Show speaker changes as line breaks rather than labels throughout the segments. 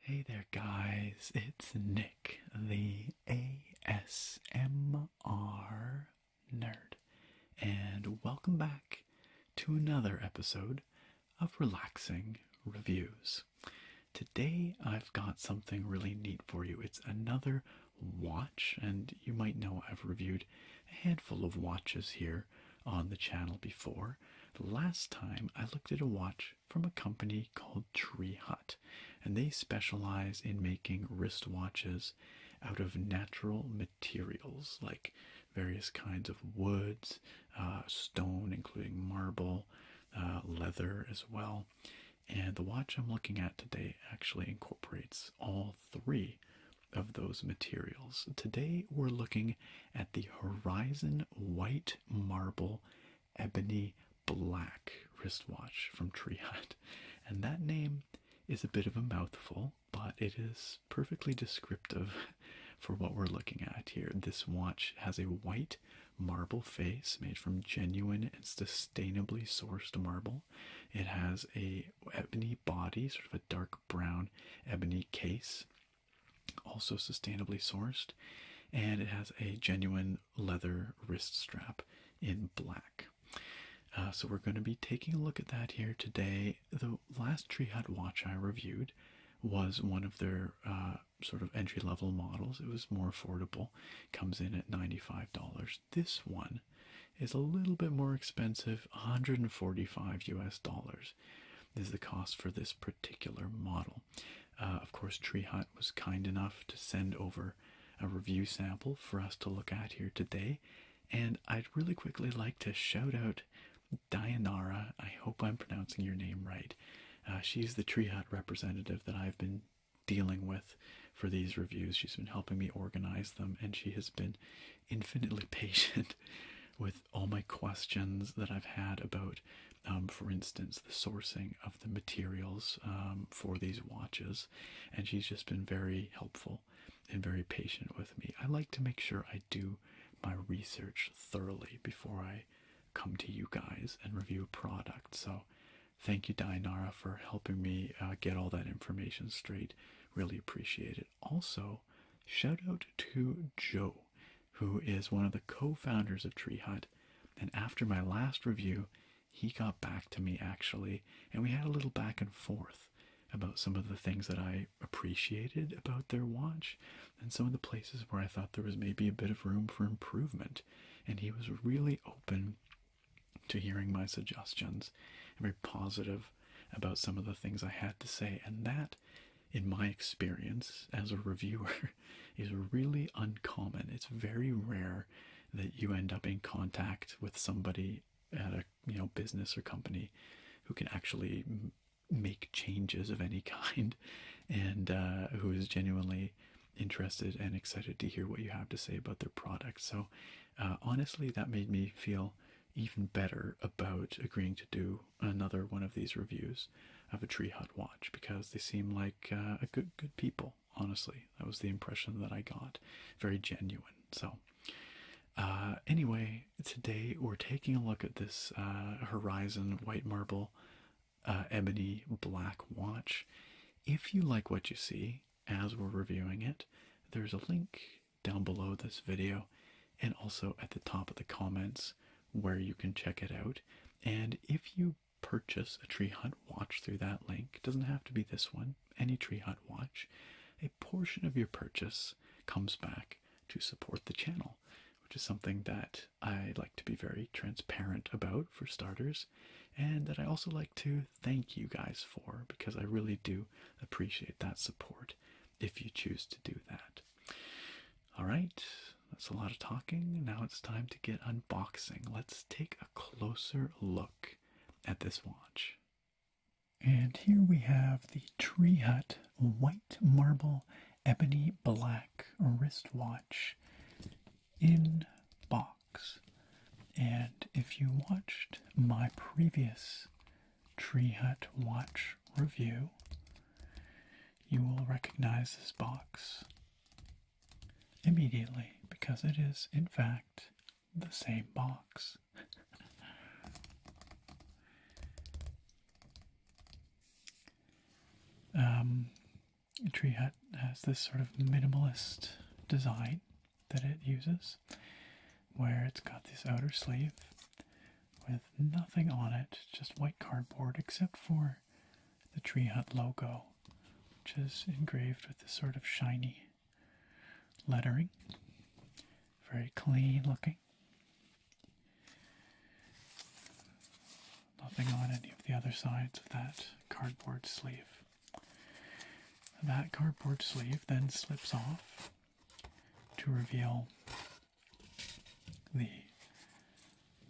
Hey there, guys. It's Nick, the ASMR nerd, and welcome back to another episode of relaxing reviews. Today, I've got something really neat for you. It's another watch, and you might know I've reviewed a handful of watches here on the channel before. The Last time, I looked at a watch from a company called Tree Hut, and they specialize in making wristwatches out of natural materials like various kinds of woods uh, stone, including marble, uh, leather as well. And the watch I'm looking at today actually incorporates all three of those materials. Today we're looking at the Horizon White Marble Ebony Black wristwatch from Tree Triad. And that name is a bit of a mouthful, but it is perfectly descriptive for what we're looking at here. This watch has a white marble face made from genuine and sustainably sourced marble. It has a ebony body, sort of a dark brown ebony case, also sustainably sourced, and it has a genuine leather wrist strap in black. Uh, so we're going to be taking a look at that here today. The last Tree Hut watch I reviewed was one of their uh, sort of entry level models. It was more affordable, comes in at $95. This one is a little bit more expensive, 145 US dollars is the cost for this particular model. Uh, of course, Tree Hut was kind enough to send over a review sample for us to look at here today. And I'd really quickly like to shout out Dianara, I hope I'm pronouncing your name right. Uh, she's the Tree Hut representative that I've been dealing with for these reviews. She's been helping me organize them, and she has been infinitely patient with all my questions that I've had about, um, for instance, the sourcing of the materials um, for these watches. And she's just been very helpful and very patient with me. I like to make sure I do my research thoroughly before I come to you guys and review a product. So thank you, Dainara, for helping me uh, get all that information straight. Really appreciate it. Also, shout out to Joe, who is one of the co-founders of Tree Hut. And after my last review, he got back to me actually, and we had a little back and forth about some of the things that I appreciated about their watch and some of the places where I thought there was maybe a bit of room for improvement. And he was really open to hearing my suggestions and very positive about some of the things I had to say. And that, in my experience as a reviewer, is really uncommon. It's very rare that you end up in contact with somebody at a you know business or company who can actually make changes of any kind and uh, who is genuinely interested and excited to hear what you have to say about their product. So, uh, honestly, that made me feel even better about agreeing to do another one of these reviews of a Tree Hut watch because they seem like uh, a good good people. Honestly, that was the impression that I got. Very genuine. So, anyway, today we're taking a look at this Horizon White Marble uh, ebony black watch. If you like what you see as we're reviewing it, there's a link down below this video and also at the top of the comments where you can check it out. And if you purchase a tree Hut watch through that link, doesn't have to be this one, any tree Hut watch, a portion of your purchase comes back to support the channel, which is something that I like to be very transparent about, for starters, and that I also like to thank you guys for because I really do appreciate that support if you choose to do that. All right, that's a lot of talking. Now it's time to get unboxing. Let's take a closer look at this watch. And here we have the Tree Hut white marble ebony black wristwatch in box. And if you watched my previous Tree Hut watch review, you will recognize this box immediately because it is, in fact, the same box. um, tree hut has this sort of minimalist design that it uses, where it's got this outer sleeve with nothing on it, just white cardboard, except for the tree hut logo, which is engraved with this sort of shiny lettering. Very clean looking. Nothing on any of the other sides of that cardboard sleeve. That cardboard sleeve then slips off to reveal the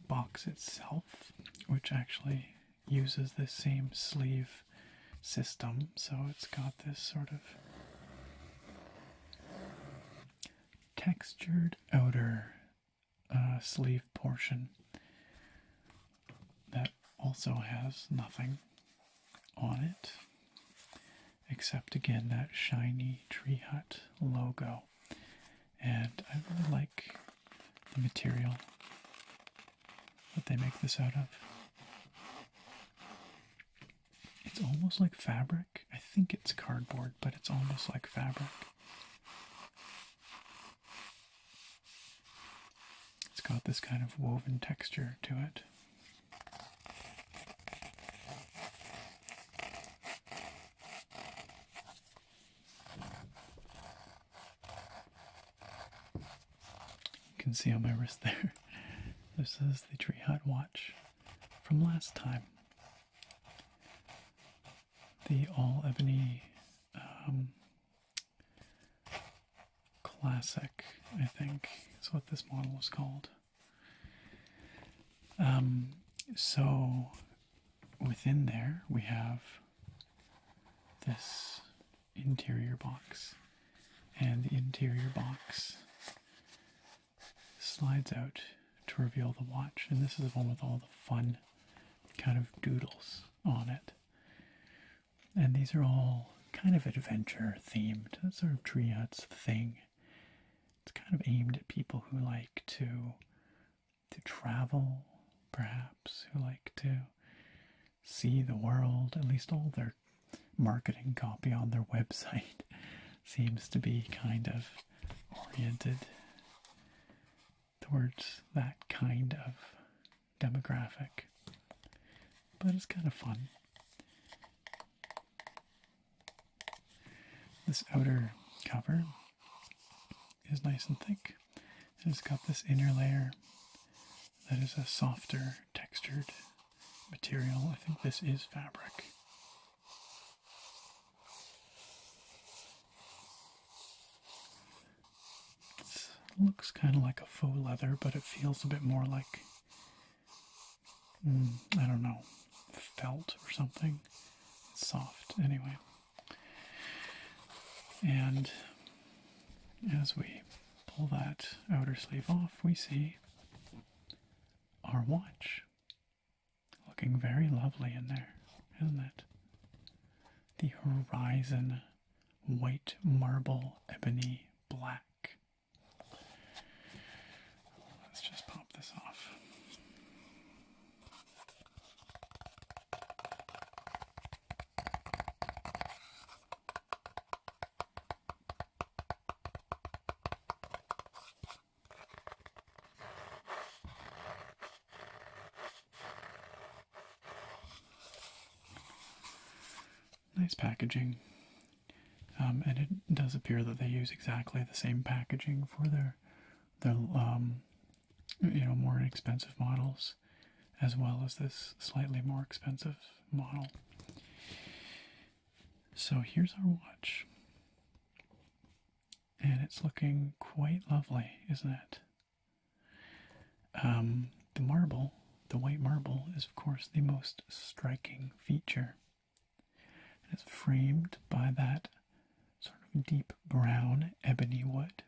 box itself, which actually uses the same sleeve system. So it's got this sort of textured outer uh, sleeve portion that also has nothing on it except again that shiny tree hut logo and i really like the material that they make this out of it's almost like fabric i think it's cardboard but it's almost like fabric it's got this kind of woven texture to it. You can see on my wrist there. This is the tree hut watch from last time the all ebony um, classic, I think is what this model is called. Um, so within there we have this interior box, and the interior box slides out to reveal the watch. And this is one with all the fun kind of doodles on it. And these are all kind of adventure themed, that sort of tree thing. It's kind of aimed at people who like to to travel, perhaps, who like to see the world. At least all their marketing copy on their website seems to be kind of oriented towards that kind of demographic. But it's kind of fun. This outer cover is nice and thick, it's got this inner layer that is a softer textured material. I think this is fabric looks kind of like a faux leather, but it feels a bit more like, mm, I don't know, felt or something. soft, anyway. And as we pull that outer sleeve off, we see our watch. Looking very lovely in there, isn't it? The horizon, white marble, ebony, black. Let's just pop this off. Nice packaging. Um, and it does appear that they use exactly the same packaging for their their um, you know more expensive models as well as this slightly more expensive model. So here's our watch and it's looking quite lovely, isn't it? Um, the marble, the white marble, is of course the most striking feature. it's framed by that sort of deep brown ebony wood.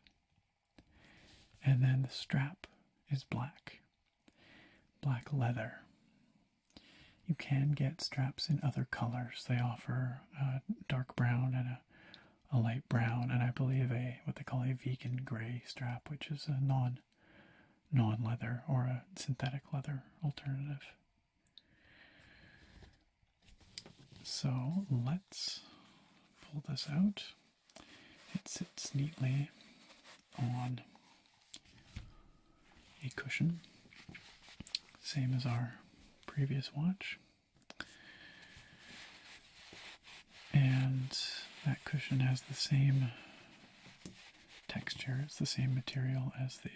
And then the strap is black, black leather. You can get straps in other colors. They offer uh, dark brown and a a light brown, and I believe a what they call a vegan gray strap, which is a non non leather or a synthetic leather alternative. So let's pull this out. It sits neatly on a cushion, same as our previous watch. And that cushion has the same texture, it's the same material as the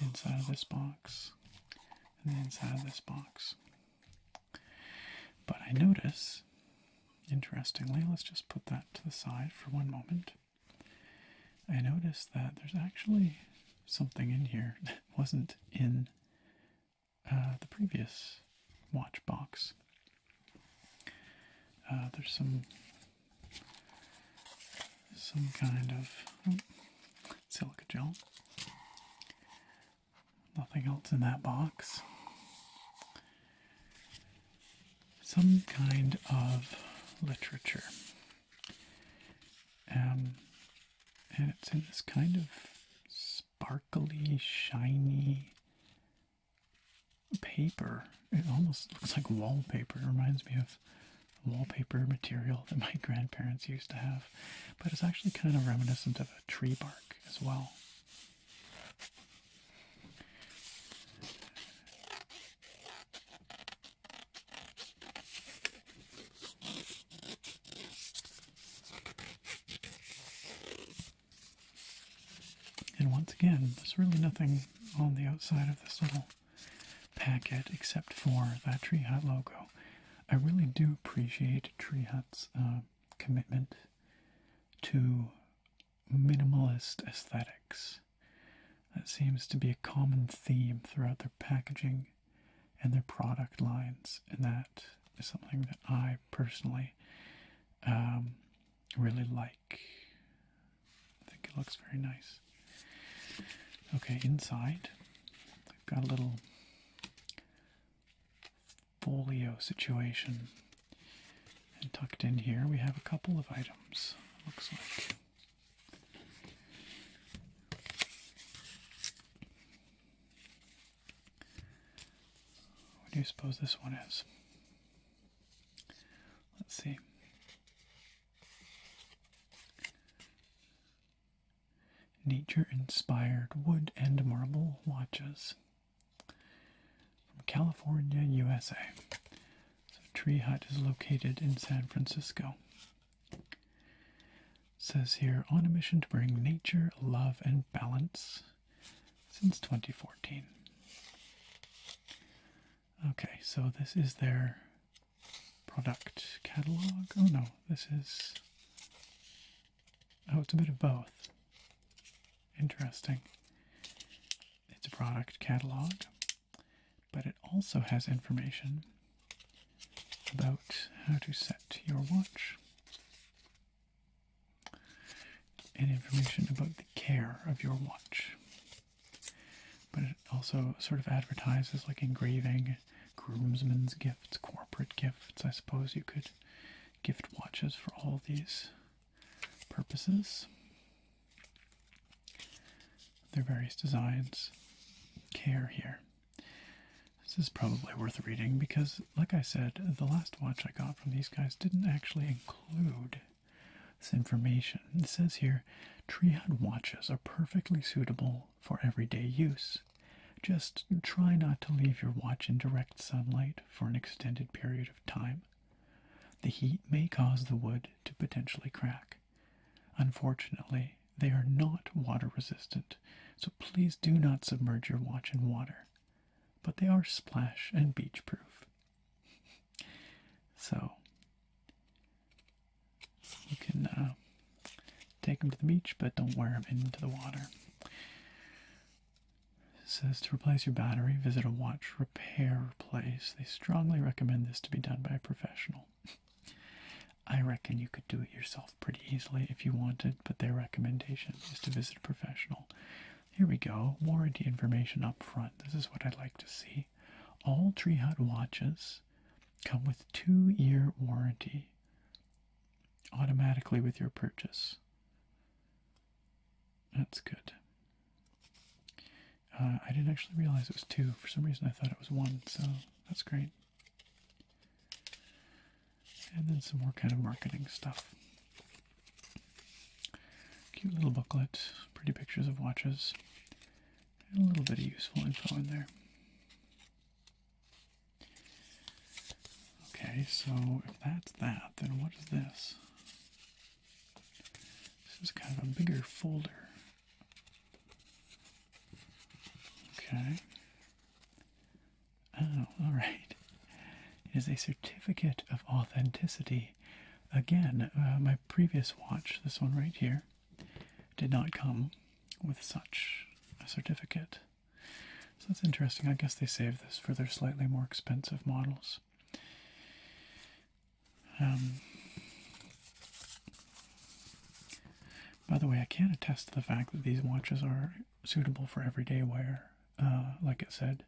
inside of this box and the inside of this box. But I notice, interestingly, let's just put that to the side for one moment. I notice that there's actually something in here that wasn't in uh, the previous watch box. Uh, there's some some kind of oh, silica gel. Nothing else in that box. Some kind of literature. Um, and it's in this kind of sparkly, shiny paper. It almost looks like wallpaper. It reminds me of wallpaper material that my grandparents used to have, but it's actually kind of reminiscent of a tree bark as well. And once again, there's really nothing on the outside of this little packet except for that Tree Hut logo. I really do appreciate Tree Hut's uh, commitment to minimalist aesthetics. That seems to be a common theme throughout the packaging and their product lines, and that is something that I personally um, really like. I think it looks very nice. Okay, inside, they've got a little folio situation. And tucked in here, we have a couple of items, looks like. What do you suppose this one is? Let's see. Nature inspired wood and marble watches from California, USA. So, Tree Hut is located in San Francisco says here on a mission to bring nature, love, and balance since 2014. Okay, so this is their product catalog. Oh no, this is. Oh, it's a bit of both. Interesting. It's a product catalog, but it also has information about how to set your watch and information about the care of your watch. But it also sort of advertises like engraving, groomsmen's gifts, corporate gifts. I suppose you could gift watches for all these purposes. Their various designs. Care here. This is probably worth reading because, like I said, the last watch I got from these guys didn't actually include this information. It says here Treehut watches are perfectly suitable for everyday use. Just try not to leave your watch in direct sunlight for an extended period of time. The heat may cause the wood to potentially crack. Unfortunately, they are not water resistant, so please do not submerge your watch in water. But they are splash and beach proof. so you can uh, take them to the beach, but don't wear them into the water. It says to replace your battery, visit a watch repair place. They strongly recommend this to be done by a professional. I reckon you could do it yourself pretty easily if you wanted, but their recommendation is to visit a professional. Here we go. Warranty information up front. This is what I would like to see. All Tree Hut watches come with two year warranty automatically with your purchase. That's good. Uh, I didn't actually realize it was two. For some reason, I thought it was one, so that's great and then some more kind of marketing stuff. Cute little booklet, pretty pictures of watches, a little bit of useful info in there. Okay, so if that's that, then what is this? This is kind of a bigger folder. Okay. Oh, all right. It is a certificate of authenticity. Again, uh, my previous watch, this one right here, did not come with such a certificate. So that's interesting. I guess they save this for their slightly more expensive models. Um, by the way, I can attest to the fact that these watches are suitable for everyday wear. Uh, like it said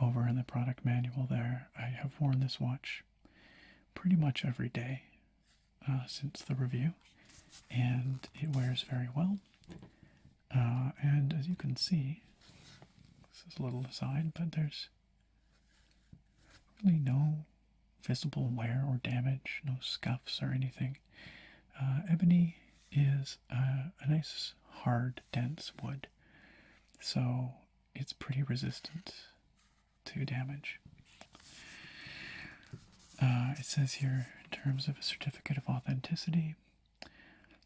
over in the product manual, there, I have worn this watch pretty much every day uh, since the review, and it wears very well. Uh, and as you can see, this is a little aside, but there's really no visible wear or damage, no scuffs or anything uh, ebony is uh, a, nice, hard, dense wood, so it's pretty resistant to damage. Uh, it says here, in terms of a certificate of authenticity,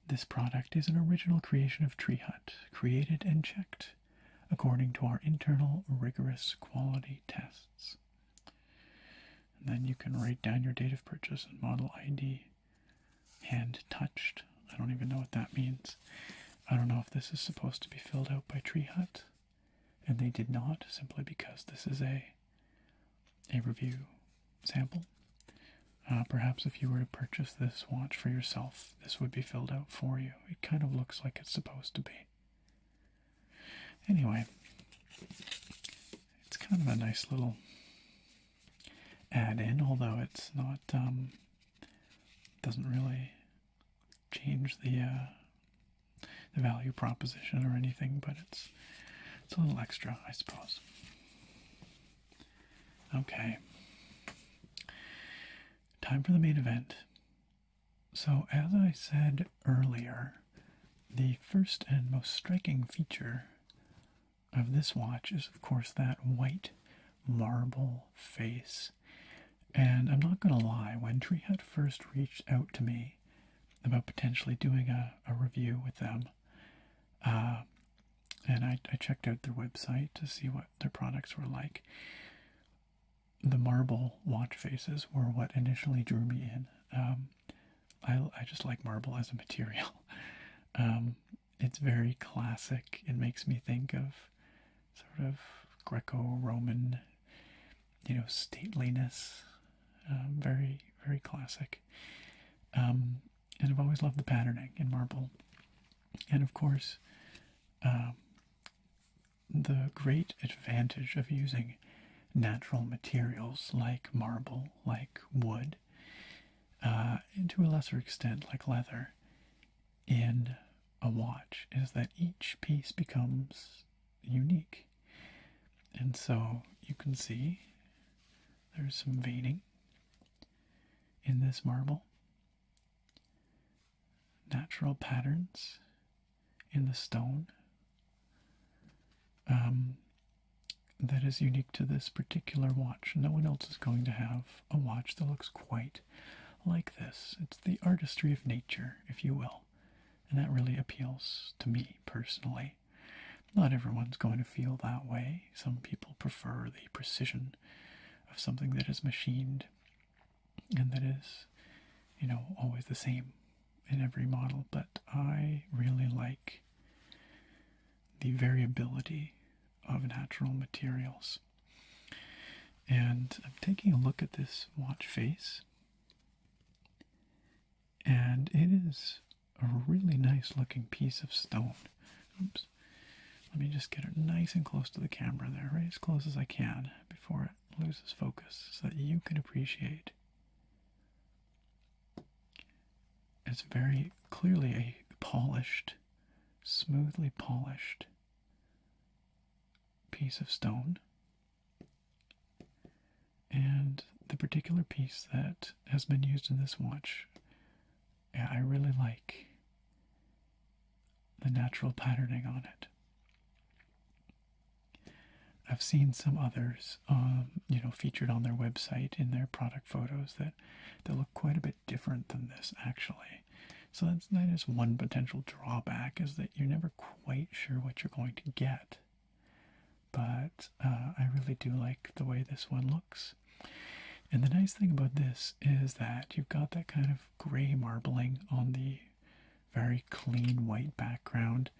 this product is an original creation of Tree Hut, created and checked according to our internal rigorous quality tests. And then you can write down your date of purchase and model ID. Hand touched. I don't even know what that means. I don't know if this is supposed to be filled out by Tree Hut, and they did not simply because this is a a review sample. Uh, perhaps if you were to purchase this watch for yourself, this would be filled out for you. It kind of looks like it's supposed to be. Anyway, it's kind of a nice little add in, although it's not, um, doesn't really change the, uh, the value proposition or anything, but it's, it's a little extra, I suppose. Okay. Time for the main event. So, as I said earlier, the first and most striking feature of this watch is, of course, that white marble face. And I'm not going to lie, when Treehead first reached out to me about potentially doing a, review with them, uh, and I, checked out their website to see what their products were like. The marble watch faces were what initially drew me in. Um, I, I just like marble as a material. Um, it's very classic. It makes me think of sort of Greco-Roman, you know, stateliness. Um, very, very classic. Um, and I've always loved the patterning in marble. And of course, the great advantage of using natural materials like marble, like wood, uh, and to a lesser extent, like leather, in a watch is that each piece becomes unique. And so you can see there's some veining in this marble, natural patterns in the stone um, that is unique to this particular watch. No one else is going to have a watch that looks quite like this. It's the artistry of nature, if you will. And that really appeals to me personally. Not everyone's going to feel that way. Some people prefer the precision of something that is machined and that is, you know, always the same in every model, but I really like the variability of natural materials. And I'm taking a look at this watch face, and it is a really nice looking piece of stone. Oops. Let me just get it nice and close to the camera there, right as close as I can before it loses focus so that you can appreciate it's very clearly a polished, smoothly polished piece of stone. And the particular piece that has been used in this watch, I really like the natural patterning on it. I've seen some others, um, you know, featured on their website in their product photos that that look quite a bit different than this actually. So that's that is one potential drawback is that you're never quite sure what you're going to get. But uh, I really do like the way this one looks. And the nice thing about this is that you've got that kind of gray marbling on the very clean white background,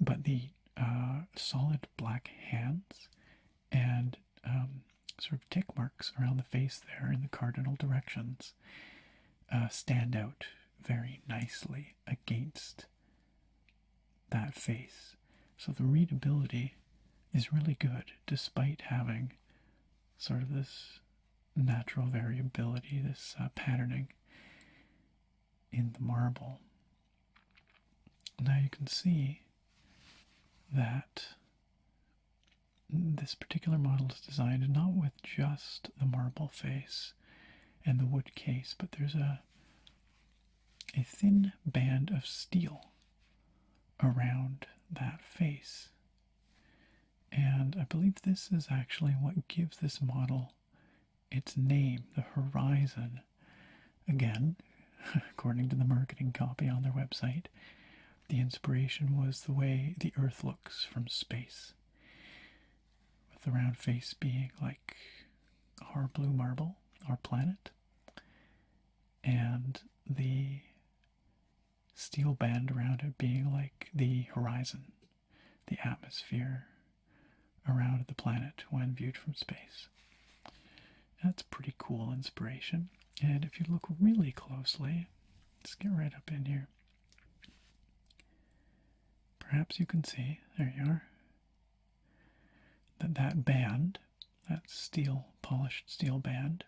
but the uh, solid black hands and um, sort of tick marks around the face there in the cardinal directions uh, stand out very nicely against that face. So the readability is really good despite having sort of this natural variability, this uh, patterning in the marble. Now you can see that this particular model is designed not with just the marble face and the wood case, but there's a a thin band of steel around that face. And I believe this is actually what gives this model its name, the horizon. Again, according to the marketing copy on their website, the inspiration was the way the Earth looks from space, with the round face being like our blue marble, our planet, and the steel band around it being like the horizon, the atmosphere, around the planet when viewed from space. That's pretty cool inspiration. And if you look really closely, let's get right up in here. Perhaps you can see, there you are, that that band, that steel, polished steel band,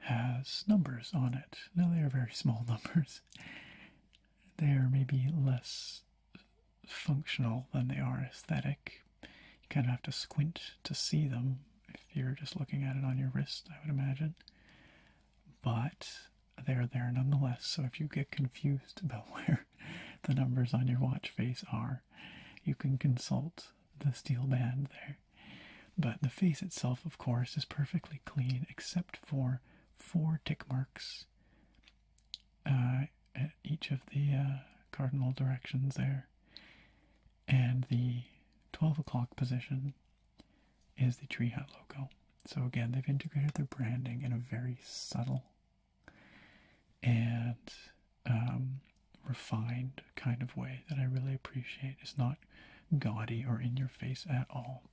has numbers on it. Now they are very small numbers. They are maybe less functional than they are aesthetic. You kind of have to squint to see them if you're just looking at it on your wrist, I would imagine. But they're there nonetheless, so if you get confused about where the numbers on your watch face are, you can consult the steel band there. But the face itself, of course, is perfectly clean except for four tick marks uh, at each of the uh, cardinal directions there. And the 12 o'clock position is the Tree Hut logo. So again, they've integrated their branding in a very subtle and um, refined kind of way that I really appreciate. It's not gaudy or in your face at all.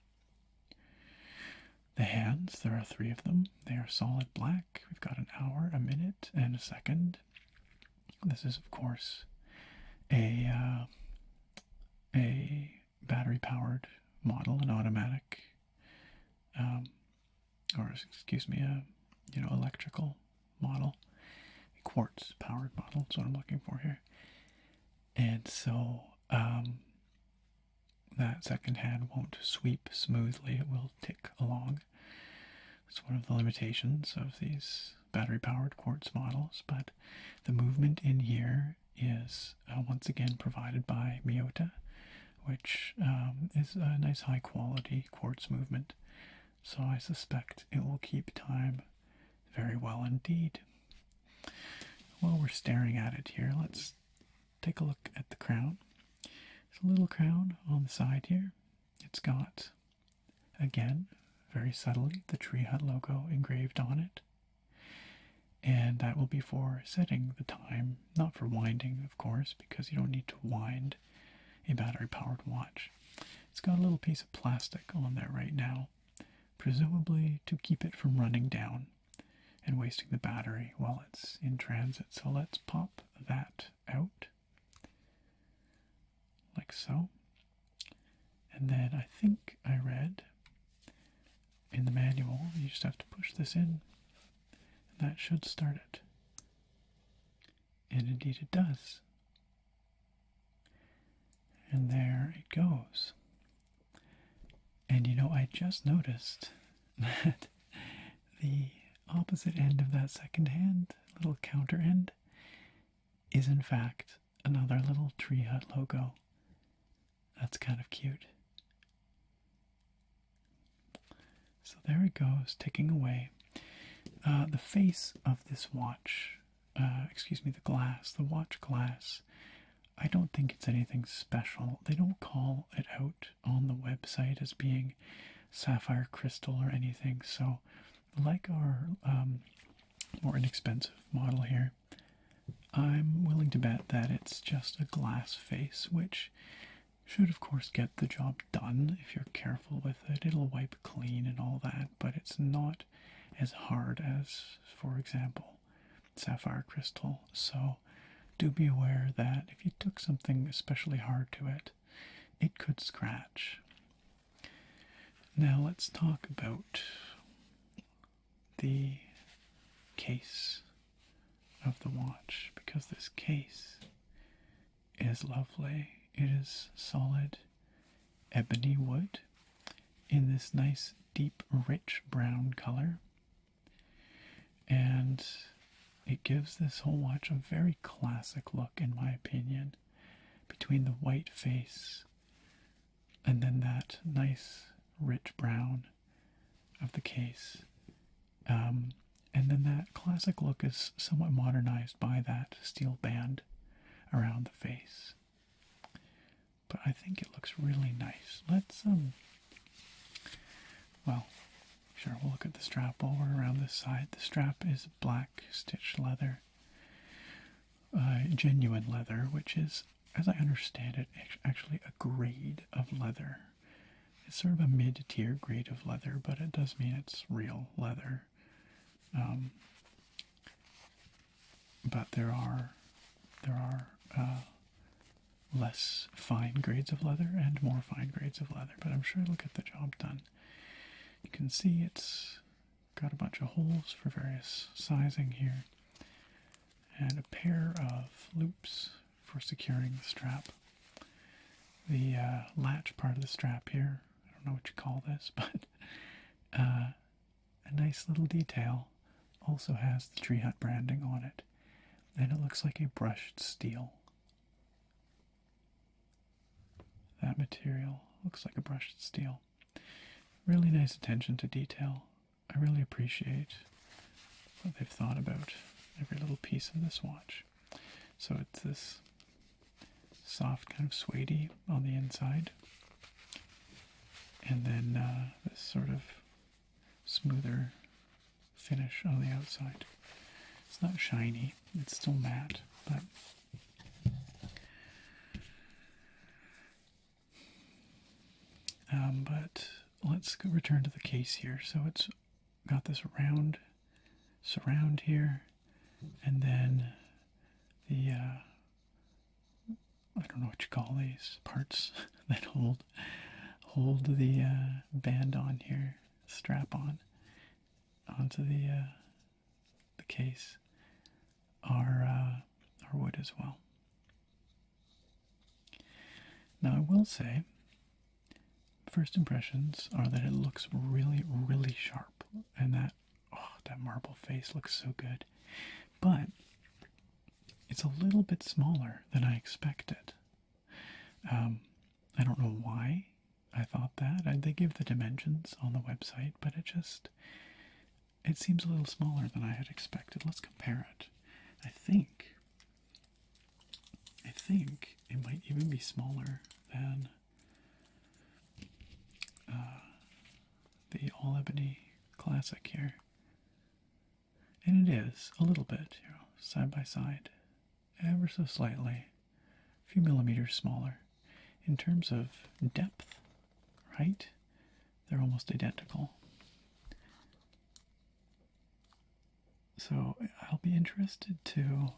The hands, there are three of them. They are solid black. We've got an hour, a minute, and a second. This is, of course, a uh, a battery-powered model, an automatic, um, or excuse me, a you know electrical model, a quartz-powered model. That's what I'm looking for here. And so um, that second hand won't sweep smoothly, it will tick along. It's one of the limitations of these battery powered quartz models, but the movement in here is uh, once again provided by Miyota, which um, is a nice high quality quartz movement. So I suspect it will keep time very well indeed. While we're staring at it here, let's take a look at the crown. It's a little crown on the side here. It's got, again, very subtly, the Tree Hut logo engraved on it. And that will be for setting the time, not for winding, of course, because you don't need to wind a battery powered watch. It's got a little piece of plastic on there right now, presumably to keep it from running down and wasting the battery while it's in transit. So let's pop that out like so. And then I think I read in the manual you just have to push this in and that should start it. And indeed it does. And there it goes. And you know, I just noticed that the opposite end of that second hand, little counter end, is in fact another little tree hut logo. That's kind of cute. So there it goes, ticking away. Uh, the face of this watch, uh, excuse me, the glass, the watch glass, I don't think it's anything special. They don't call it out on the website as being sapphire crystal or anything. So, like our um, more inexpensive model here, I'm willing to bet that it's just a glass face, which should, of course, get the job done if you're careful with it. It'll wipe clean and all that, but it's not as hard as, for example, sapphire crystal so do be aware that if you took something especially hard to it, it could scratch. Now let's talk about the case of the watch because this case is lovely. It is solid ebony wood in this nice deep rich brown color and it gives this whole watch a very classic look, in my opinion, between the white face and then that nice rich brown of the case. Um, and then that classic look is somewhat modernized by that steel band around the face. But I think it looks really nice. Let's, um, well, Sure, we'll look at the strap over around this side. The strap is black stitched leather, uh, genuine leather, which is, as I understand it, actually a grade of leather. It's sort of a mid tier grade of leather, but it does mean it's real leather. Um, but there are there are uh, less fine grades of leather and more fine grades of leather, but I'm sure it'll get the job done. You can see it's got a bunch of holes for various sizing here, and a pair of loops for securing the strap. The uh, latch part of the strap here, I don't know what you call this, but uh, a nice little detail also has the Tree Hut branding on it, and it looks like a brushed steel that material looks like a brushed steel. Really nice attention to detail. I really appreciate what they've thought about every little piece of this watch. So it's this soft kind of suede on the inside, and then uh, this sort of smoother finish on the outside. It's not shiny, it's still matte, but um, let's return to the case here. So it's got this round surround here, and then the uh, I don't know what you call these parts that hold hold the uh, band on here strap on onto the uh, the case our uh, wood as well. Now I will say, first impressions are that it looks really really sharp, and that oh that marble face looks so good, but it's a little bit smaller than I expected. Um, I don't know why I thought that. they give the dimensions on the website, but it just it seems a little smaller than I had expected. Let's compare it. I think I think it might even be smaller than uh, the All Ebony Classic here. And it is a little bit, you know, side by side ever so slightly, a few millimeters smaller. In terms of depth, right, they're almost identical. So I'll be interested to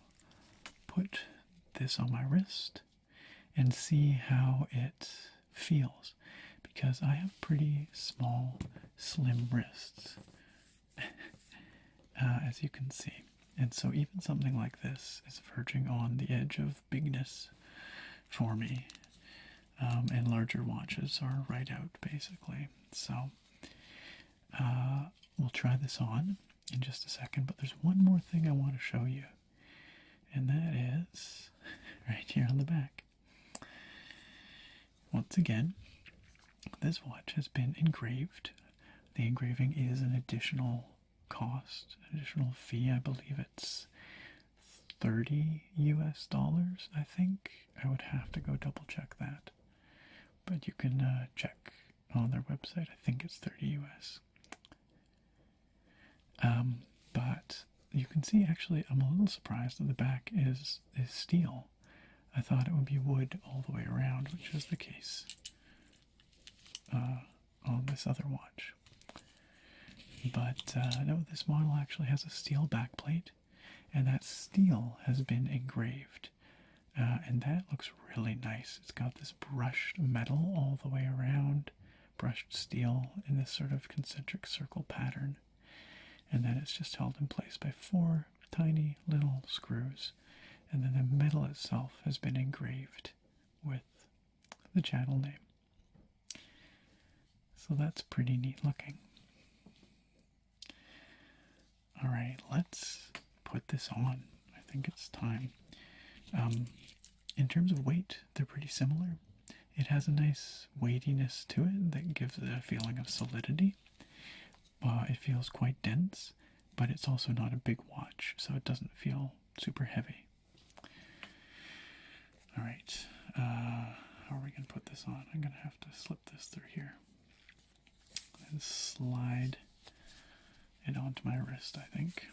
put this on my wrist and see how it feels because I have pretty small, slim wrists. Uh, as you can see. And so, even something like this is verging on the edge of bigness for me. Um, and larger watches are right out basically. So, uh, we'll try this on in just a second. But there's one more thing I want to show you, and that is right here on the back. Once again, this watch has been engraved. The engraving is an additional cost, additional fee. I believe it's 30 US dollars, I think. I would have to go double check that. But you can uh, check on their website. I think it's 30 US. Um, but you can see actually I'm a little surprised that the back is is steel. I thought it would be wood all the way around, which is the case uh, on this other watch. But uh, no, this model actually has a steel backplate, and that steel has been engraved. Uh, and that looks really nice. It's got this brushed metal all the way around, brushed steel in this sort of concentric circle pattern. And then it's just held in place by four tiny little screws, and then the metal itself has been engraved with the channel name. So that's pretty neat looking. Alright, let's put this on. I think it's time. Um, in terms of weight, they're pretty similar. It has a nice weightiness to it that gives a feeling of solidity. Uh, it feels quite dense, but it's also not a big watch, so it doesn't feel super heavy. All right, uh, how are we going to put this on? I'm going to have to slip this through here and slide it onto my wrist, I think.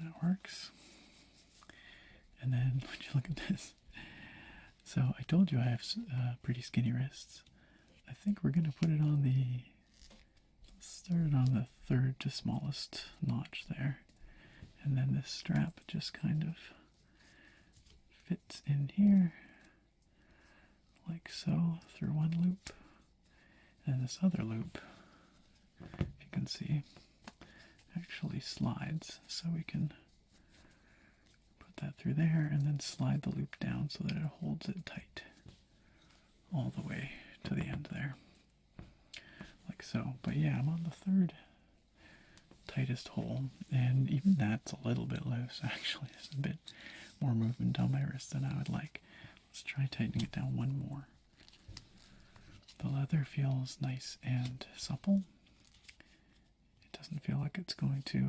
That works. And then, would you look at this? So, I told you I have uh, pretty skinny wrists. I think we're going to put it on the. Start it on the third to smallest notch there. And then this strap just kind of fits in here, like so, through one loop. And this other loop, if you can see, actually slides so we can Put that through there and then slide the loop down so that it holds it tight all the way to the end there. Like so. But yeah, I'm on the third tightest hole, and even that's a little bit loose actually. There's a bit more movement down my wrist than I would like. Let's try tightening it down one more. The leather feels nice and supple it doesn't feel like it's going to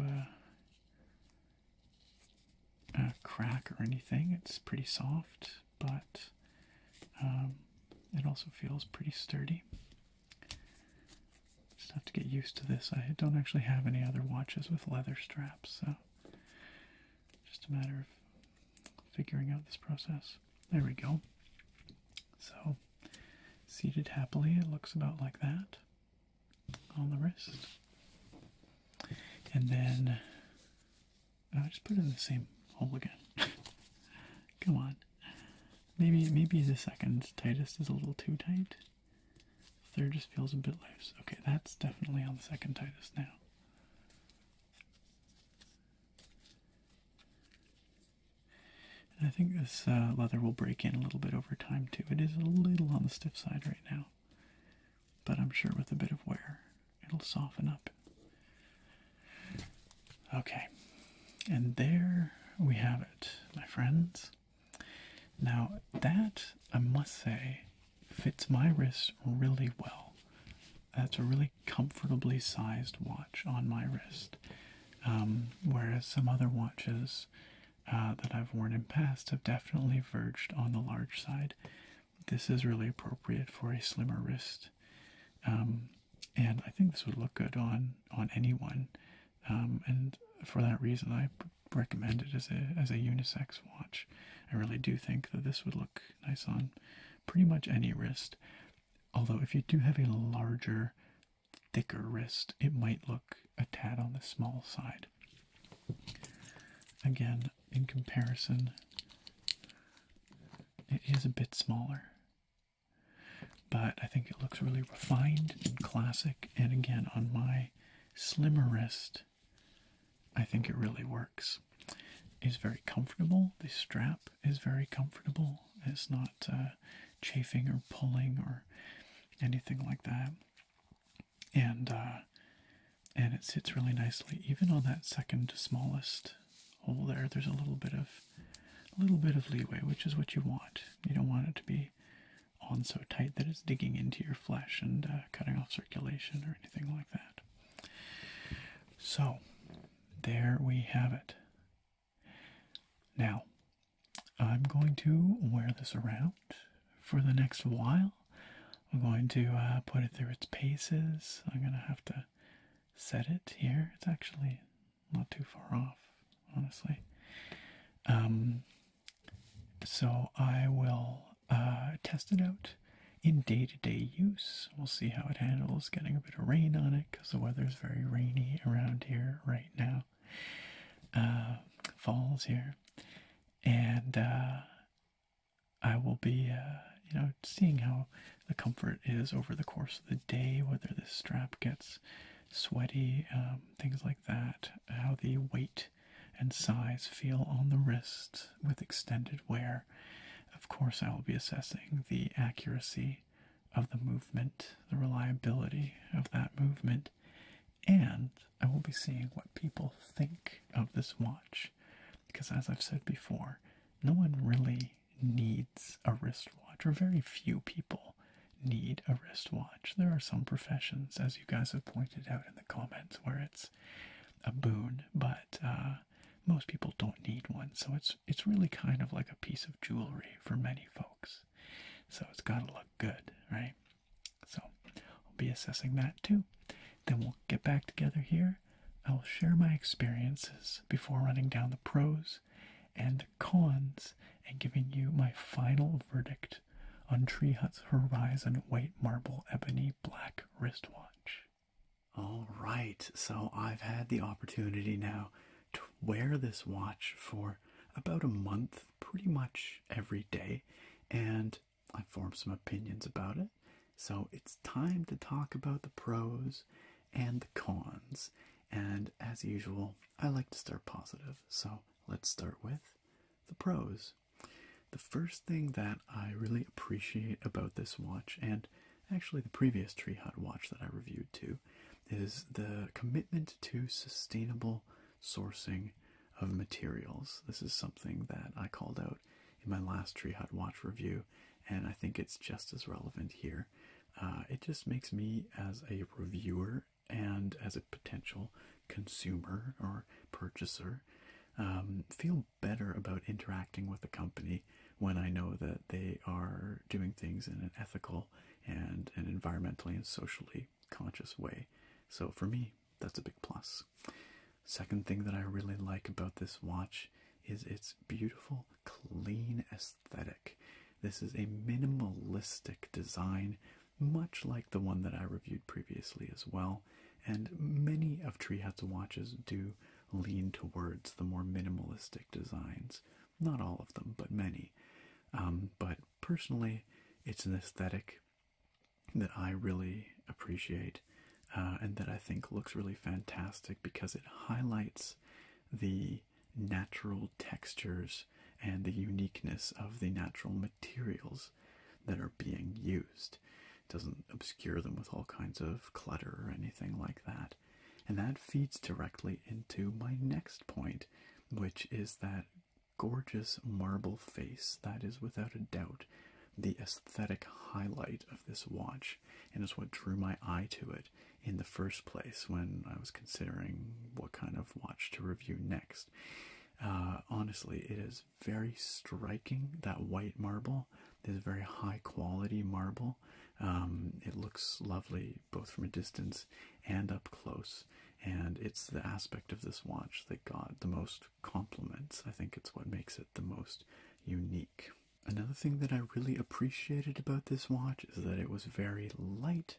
uh, uh, crack or anything. It's pretty soft, but um, it also feels pretty sturdy. Just have to get used to this. I don't actually have any other watches with leather straps, so just a matter of figuring out this process. There we go. So, seated happily, it looks about like that on the wrist. And then I just put it in the same hole again. Come on. Maybe maybe the second tightest is a little too tight. Third just feels a bit loose. Okay, that's definitely on the second tightest now. And I think this uh, leather will break in a little bit over time too. It is a little on the stiff side right now, but I'm sure with a bit of wear it'll soften up. Okay, and there we have it, my friends. Now, that I must say fits my wrist really well. That's a really comfortably sized watch on my wrist. Um, whereas some other watches uh, that I've worn in past have definitely verged on the large side. This is really appropriate for a slimmer wrist, um, and I think this would look good on on anyone. Um, and for that reason, I recommend it as a as a unisex watch. I really do think that this would look nice on pretty much any wrist. Although, if you do have a larger thicker wrist, it might look a tad on the small side. Again, in comparison, it is a bit smaller, but I think it looks really refined and classic. And again, on my slimmer wrist, I think it really works. Is very comfortable. The strap is very comfortable. It's not uh, chafing or pulling or anything like that and uh, and it sits really nicely even on that second smallest hole there there's a little bit of a little bit of leeway which is what you want you don't want it to be on so tight that it's digging into your flesh and uh, cutting off circulation or anything like that so there we have it now I'm going to wear this around for the next while. I'm going to uh, put it through its paces. I'm going to have to set it here. It's actually not too far off, honestly. Um, so I will uh, test it out in day to day use. We'll see how it handles getting a bit of rain on it because the weather is very rainy around here right now. Uh, falls here, and uh, I will be, uh, you know, seeing how the comfort is over the course of the day, whether this strap gets sweaty, um, things like that, how the weight and size feel on the wrist with extended wear. Of course, I will be assessing the accuracy of the movement, the reliability of that movement, and I will be seeing what people think of this watch because, as I've said before, no one really needs a wristwatch, or very few people need a wristwatch. There are some professions, as you guys have pointed out in the comments, where it's a boon, but uh, most people don't need one. So it's it's really kind of like a piece of jewelry for many folks. So it's got to look good, right? So I'll be assessing that too. Then we'll get back together here. I will share my experiences before running down the pros and cons and giving you my final verdict on Tree Hut's Horizon White Marble Ebony Black Wristwatch. All right, so I've had the opportunity now to wear this watch for about a month pretty much every day, and I form some opinions about it. So it's time to talk about the pros and the cons. And as usual, I like to start positive. So let's start with the pros. The first thing that I really appreciate about this watch, and actually the previous Tree Hut watch that I reviewed too, is the commitment to sustainable sourcing of materials. This is something that I called out in my last Tree Hut Watch review, and I think it's just as relevant here. Uh, it just makes me, as a reviewer and as a potential consumer or purchaser, um, feel better about interacting with a company when I know that they are doing things in an ethical and an environmentally and socially conscious way. So for me, that's a big plus. Second thing that I really like about this watch is its beautiful, clean aesthetic. This is a minimalistic design, much like the one that I reviewed previously as well. And many of Treehatsu watches do lean towards the more minimalistic designs. Not all of them, but many. Um, but personally, it's an aesthetic that I really appreciate uh, and that I think looks really fantastic because it highlights the natural textures and the uniqueness of the natural materials that are being used. It doesn't obscure them with all kinds of clutter or anything like that. And that feeds directly into my next point, which is that gorgeous marble face that is without a doubt the aesthetic highlight of this watch and is what drew my eye to it in the first place when I was considering what kind of watch to review next. Uh, honestly, it is very striking. That white marble is very high quality marble. Um, it looks lovely both from a distance and up close and it's the aspect of this watch that got the most compliments. I think it's what makes it the most unique. Another thing that I really appreciated about this watch is that it was very light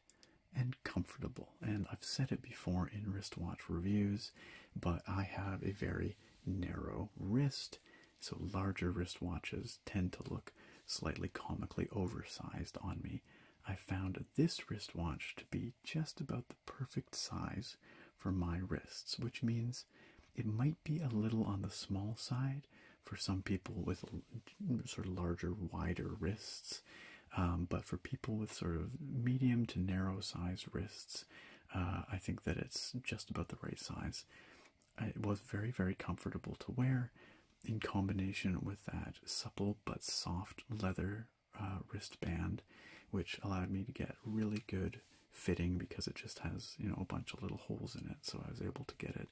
and comfortable. And I've said it before in wristwatch reviews, but I have a very narrow wrist, so larger wristwatches tend to look slightly comically oversized on me. I found this wristwatch to be just about the perfect size for my wrists, which means it might be a little on the small side for some people with sort of larger, wider wrists. Um, but for people with sort of medium to narrow sized wrists, uh, I think that it's just about the right size. Uh, it was very, very comfortable to wear in combination with that supple but soft leather uh, wristband, which allowed me to get really good fitting because it just has you know a bunch of little holes in it. So I was able to get it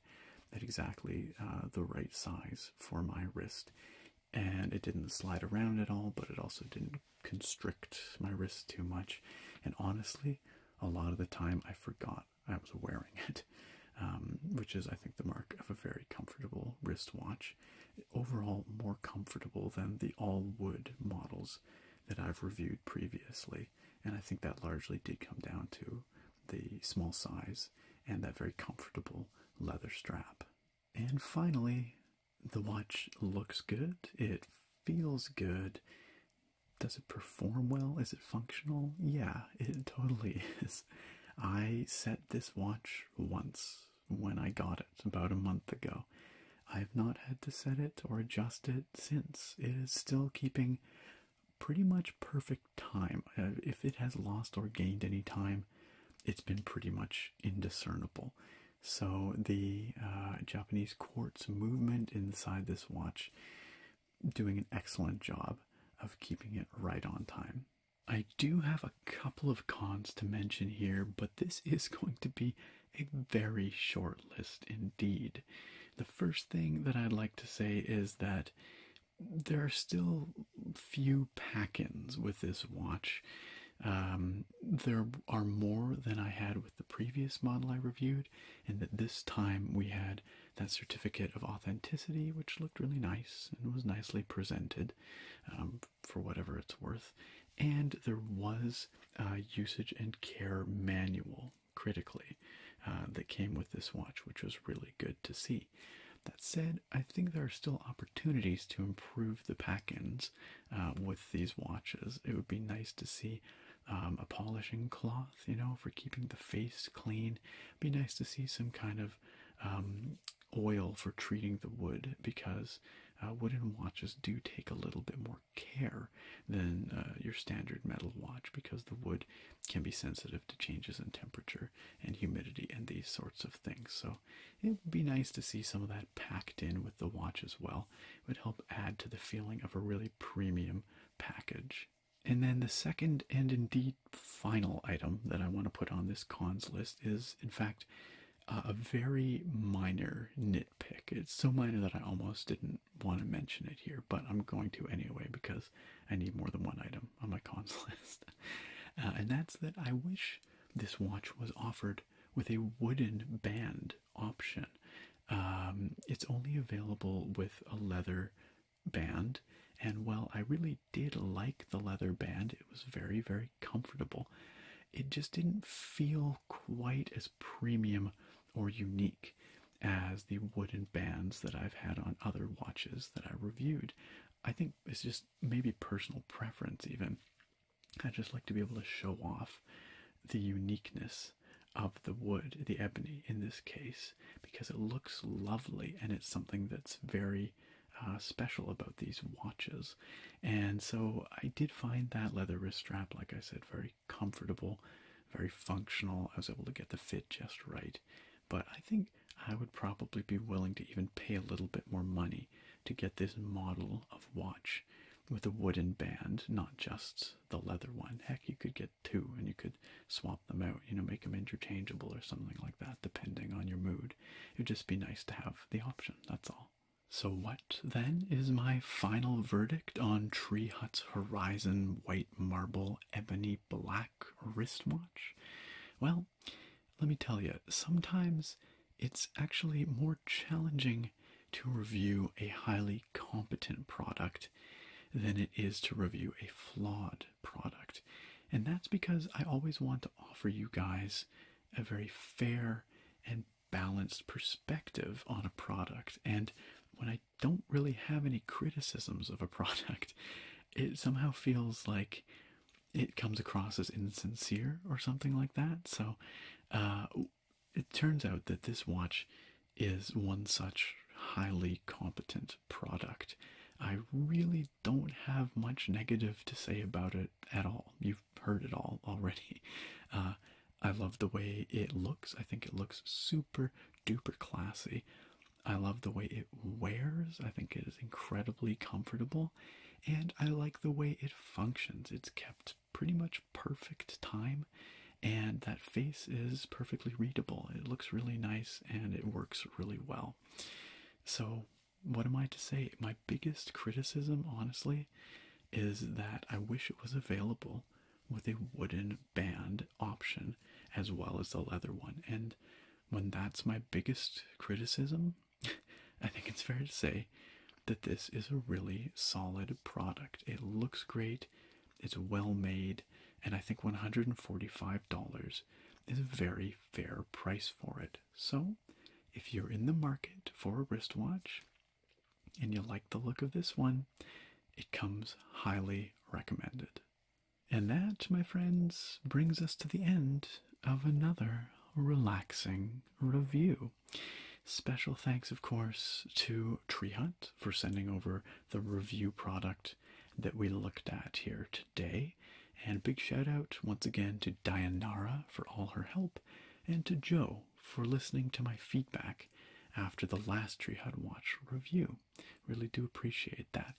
at exactly uh, the right size for my wrist, and it didn't slide around at all, but it also didn't constrict my wrist too much. And honestly, a lot of the time I forgot I was wearing it. Um, which is, I think, the mark of a very comfortable wristwatch overall more comfortable than the all wood models that I've reviewed previously. And I think that largely did come down to the small size and that very comfortable leather strap. And finally, the watch looks good. It feels good. Does it perform well? Is it functional? Yeah, it totally is. I set this watch once when I got it about a month ago. I have not had to set it or adjust it since. It is still keeping pretty much perfect time. Uh, if it has lost or gained any time, it's been pretty much indiscernible. So the uh, Japanese quartz movement inside this watch doing an excellent job of keeping it right on time. I do have a couple of cons to mention here, but this is going to be a very short list indeed. The first thing that I'd like to say is that there are still few pack ins with this watch. Um, there are more than I had with the previous model I reviewed, and that this time we had that certificate of authenticity, which looked really nice and was nicely presented. Um, for whatever it's worth. And there was a usage and care manual, critically, uh, that came with this watch, which was really good to see. That said, I think there are still opportunities to improve the pack ins uh, with these watches. It would be nice to see um, a polishing cloth, you know, for keeping the face clean. be nice to see some kind of um, oil for treating the wood because uh, wooden watches do take a little bit more care than uh, your standard metal watch because the wood can be sensitive to changes in temperature and humidity and these sorts of things. So it'd be nice to see some of that packed in with the watch as well. It would help add to the feeling of a really premium package. And then the second and indeed final item that I want to put on this cons list is, in fact, uh, a very minor nitpick. It's so minor that I almost didn't want to mention it here, but I'm going to anyway because I need more than one item on my cons list. Uh, and that's that I wish this watch was offered with a wooden band option. Um, it's only available with a leather band, and while I really did like the leather band, it was very, very comfortable. It just didn't feel quite as premium or unique as the wooden bands that I've had on other watches that I reviewed. I think it's just maybe personal preference, even. I just like to be able to show off the uniqueness of the wood, the ebony in this case, because it looks lovely and it's something that's very uh, special about these watches. And so I did find that leather wrist strap, like I said, very comfortable, very functional. I was able to get the fit just right. But I think I would probably be willing to even pay a little bit more money to get this model of watch with a wooden band, not just the leather one. Heck, you could get two and you could swap them out, you know, make them interchangeable or something like that, depending on your mood. It would just be nice to have the option, that's all. So, what then is my final verdict on Tree Hut's Horizon White Marble Ebony Black wristwatch? Well, let me tell you, sometimes it's actually more challenging to review a highly competent product than it is to review a flawed product. And that's because I always want to offer you guys a very fair and balanced perspective on a product. And when I don't really have any criticisms of a product, it somehow feels like it comes across as insincere or something like that. So uh, it turns out that this watch is one such highly competent product. I really don't have much negative to say about it at all. You heard it all already. Uh, I love the way it looks. I think it looks super duper classy. I love the way it wears. I think it is incredibly comfortable. And I like the way it functions. It's kept pretty much perfect time. And that face is perfectly readable. It looks really nice and it works really well. So what am I to say? My biggest criticism, honestly, is that I wish it was available with a wooden band option as well as the leather one. And when that's my biggest criticism, I think it's fair to say that this is a really solid product. It looks great, it's well made, and I think $145 is a very fair price for it. So, if you're in the market for a wristwatch and you like the look of this one, it comes highly recommended. And that, my friends, brings us to the end of another relaxing review. Special thanks, of course, to Tree Hunt for sending over the review product that we looked at here today. And big shout out once again to Dianara for all her help and to Joe for listening to my feedback after the last Tree Hut Watch review. Really do appreciate that.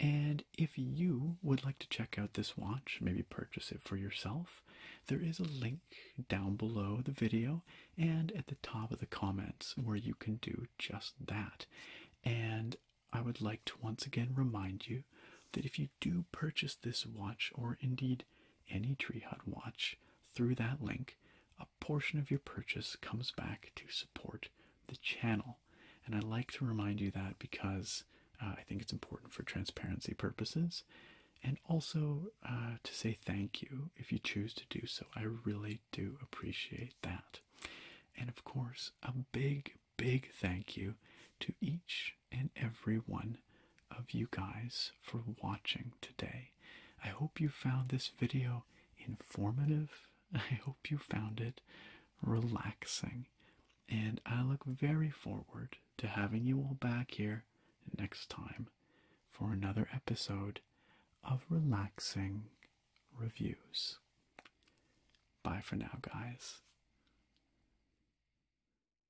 And if you would like to check out this watch, maybe purchase it for yourself, there is a link down below the video and at the top of the comments where you can do just that. And I would like to once again remind you that if you do purchase this watch, or indeed any Tree Hut watch through that link, a portion of your purchase comes back to support the channel. And I like to remind you that because uh, I think it's important for transparency purposes and also uh, to say thank you if you choose to do so. I really do appreciate that. And of course, a big, big thank you to each and every one of you guys for watching today. I hope you found this video informative. I hope you found it relaxing. And I look very forward to having you all back here next time for another episode of Relaxing Reviews. Bye for now, guys.